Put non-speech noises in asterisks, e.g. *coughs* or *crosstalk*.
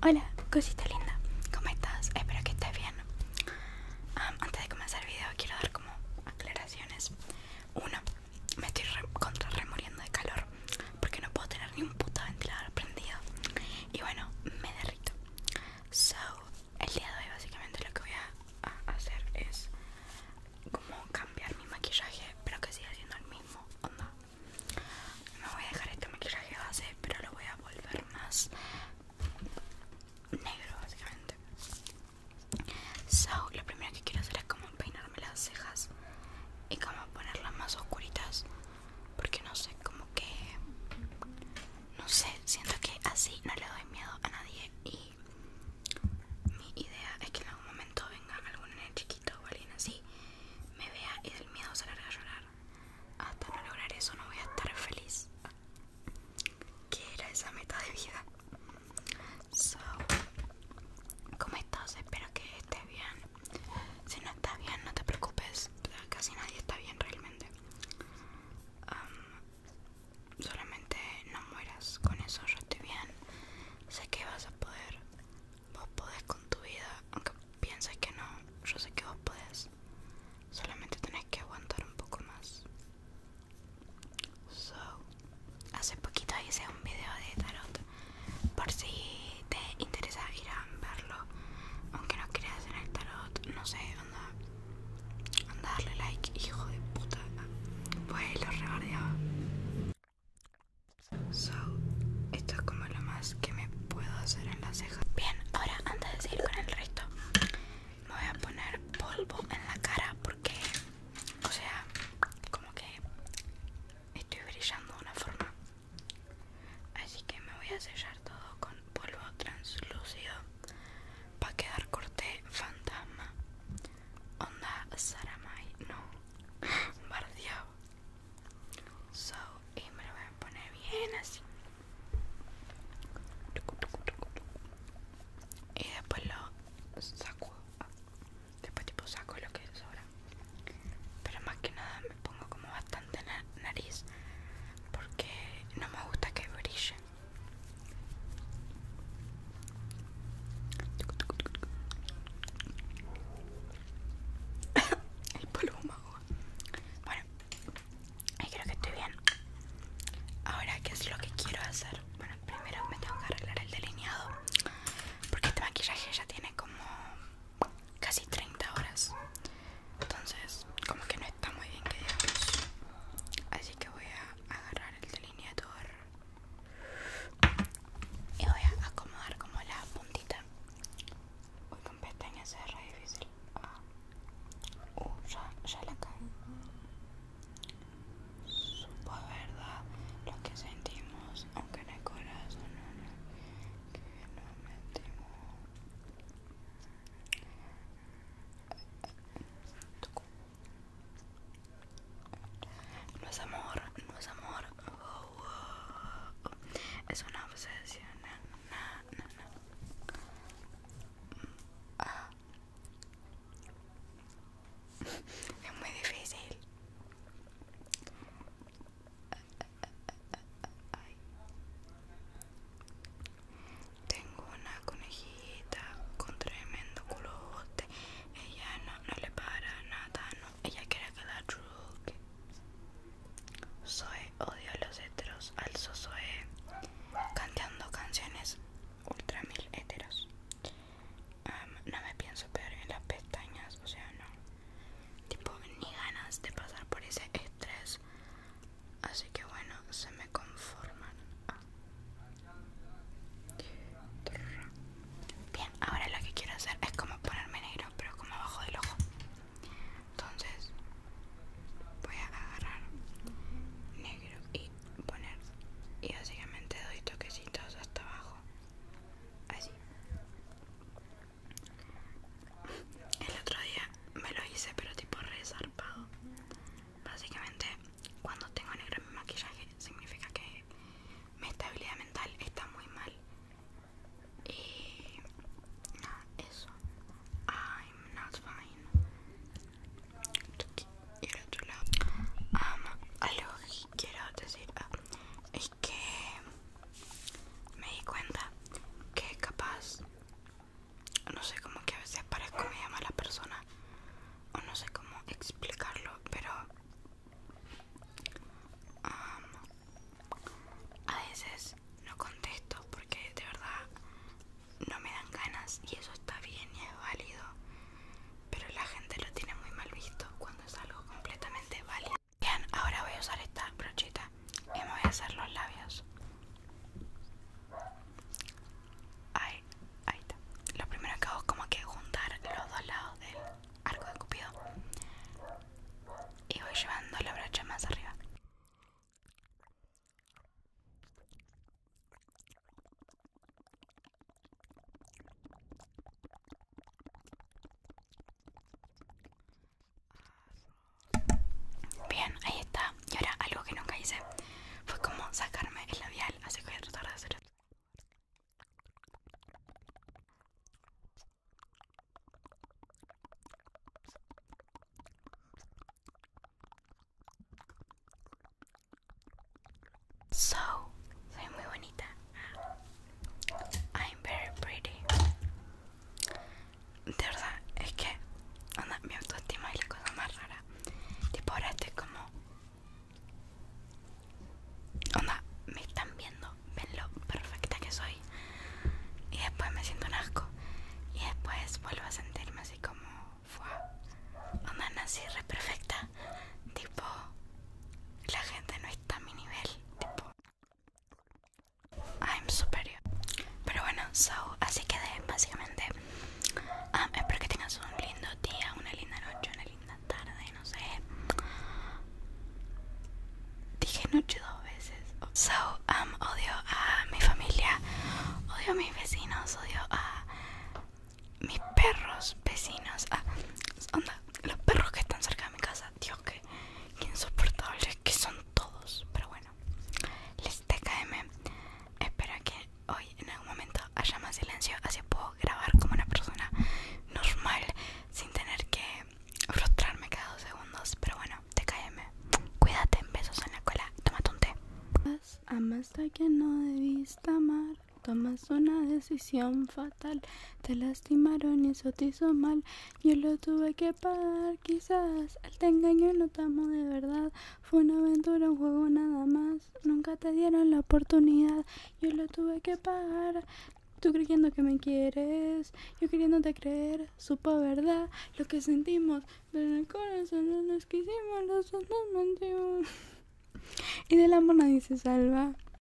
Hola, cosita linda, ¿cómo estás? Espero que estés bien. antes de comenzar el video quiero dar como aclaraciones. Uno, me estoy contrarremoliendo de calor porque no puedo tener ni un puto ventilador prendido. Y bueno, me derrito. So, el día de hoy básicamente lo que voy a, a hacer es como cambiar mi maquillaje, pero que siga siendo el mismo. Onda, me voy a dejar este maquillaje base, pero lo voy a volver más negro básicamente. So, lo primero que quiero hacer es como peinarme las cejas y como ponerlas más oscuritas. Porque no sé, como que... No sé, siento que así no le doy miedo a nadie y mi idea es que en algún momento venga algún nene o alguien así me vea y del miedo se a llorar. Hasta no lograr eso no voy a estar feliz. que era esa meta de vida? So, ¿cómo estás? Espero que estés bien. Si no estás bien, no te preocupes. Casi nadie está bien realmente. solamente no mueras. Con eso yo estoy bien. Sé que vas a poder. Vos podés con tu vida, aunque pienses que no, yo sé que vos podés. Solamente tenés que aguantar un poco más. So, hace poquito hice un video de tarot. Por si te interesa ir a verlo. Aunque no creas en el tarot, no sé, anda. Anda darle like, hijo de puta. Pues lo rebardeaba. So, esto es como lo más que me puedo hacer en las cejas. Bien, ahora antes de seguir con el resto, me voy a poner polvo en la cara porque, o sea, como que estoy brillando de una forma. Así que me voy a sellar todo con polvo translúcido para quedar corte fantasma. Onda Saramay, no, bardeado. So, y me lo voy a poner bien así. Y después lo saco. Después tipo saco lo que sobra. Pero más que nada me pongo como bastante nariz. Porque no me gusta que brille. *coughs* El mago Bueno, ahí creo que estoy bien. Ahora, ¿qué es lo que quiero hacer? Bueno, primero me tengo que arreglar el delineado. Porque este maquillaje ya tiene como casi 30 horas. Entonces, como que no está muy bien que digamos. Así que voy a agarrar el delineador. Y voy a acomodar como la puntita. Voy con pestañas, es re difícil. Ah. Uh, ya, ya la caí. Supo verdad lo que sentimos, aunque en el corazón no, no que no no es amor, no es amor. Es una obsesión. es muy difícil. Tengo una conejita con tremendo culote. Ella no, le para nada, no. Ella quiere quedar truque. Zoe odio a los heteros. Alzo soy cantando canciones ultra mil heteros. no me pienso pegar en las pestañas, o sea, no. Tipo, ni ganas de pasar por ese estrés Así que bueno, se me conforman. Bien, ahora lo que quiero hacer es como ponerme negro, pero como abajo del ojo. Entonces, voy a agarrar negro y poner. Y básicamente doy toquecitos hasta abajo. Así. El otro día me lo hice, pero tipo re zarpado. Básicamente, cuando tengo negro en mi maquillaje, significa que mi estabilidad mental está muy mal. Y nada, eso. I'm not fine. Y de otro lado. Um, quiero decir um, es que me di cuenta que capaz no sé cómo que a veces parezco media mala persona o no sé cómo explicarlo pero a veces no contesto porque de verdad no me dan ganas y eso está bien y es válido pero la gente lo tiene muy mal visto cuando es algo completamente válido bien ahora voy a usar esta brochita y me voy a hacer los labios Ahí, ahí está. Lo primero que hago es como que juntar los dos lados del arco de cupido y voy llevando la brocha más arriba. Bien, ahí está. Y ahora algo que nunca hice fue como sacarme el labial, así que voy a tratar de hacer So, soy muy bonita. I'm very pretty de verdad, es que onda, mi autoestima es la cosa más rara. Tipo, ahora estoy como. Onda, me están viendo, ven lo perfecta que soy. Y después me siento un asco. Y después vuelvo a sentirme así como. Onda, nací re perfecta. Tipo, la gente no está a mi nivel. Tipo, I'm superior. Pero bueno, so, así quedé básicamente. Ah, espero que tengas un lindo día, una linda noche, una linda tarde, no sé. Dije noche dos veces. So, um, odio a mi familia, odio a mis vecinos, odio a mis perros vecinos. los perros que están cerca de mi casa. Dios, que, insoportables que son todos. Pero bueno, les TKM. Espero que hoy en algún momento haya más silencio, así puedo grabar como una persona normal sin tener que frustrarme cada dos segundos. Pero bueno, TKM. Cuídate, besos en la cola, tómate un té. Amaste a quien no debiste amar, tomas una decisión fatal, te la Estimaron y eso te hizo mal. Yo lo tuve que pagar, quizás. al te engañó y no te de verdad. Fue una aventura, un juego nada más. Nunca te dieron la oportunidad. Yo lo tuve que pagar. Tú creyendo que me quieres, yo queriéndote creer, supo verdad lo que sentimos, pero en el corazón no nos quisimos, los dos nos mentimos. *laughs* Y del amor nadie se salva.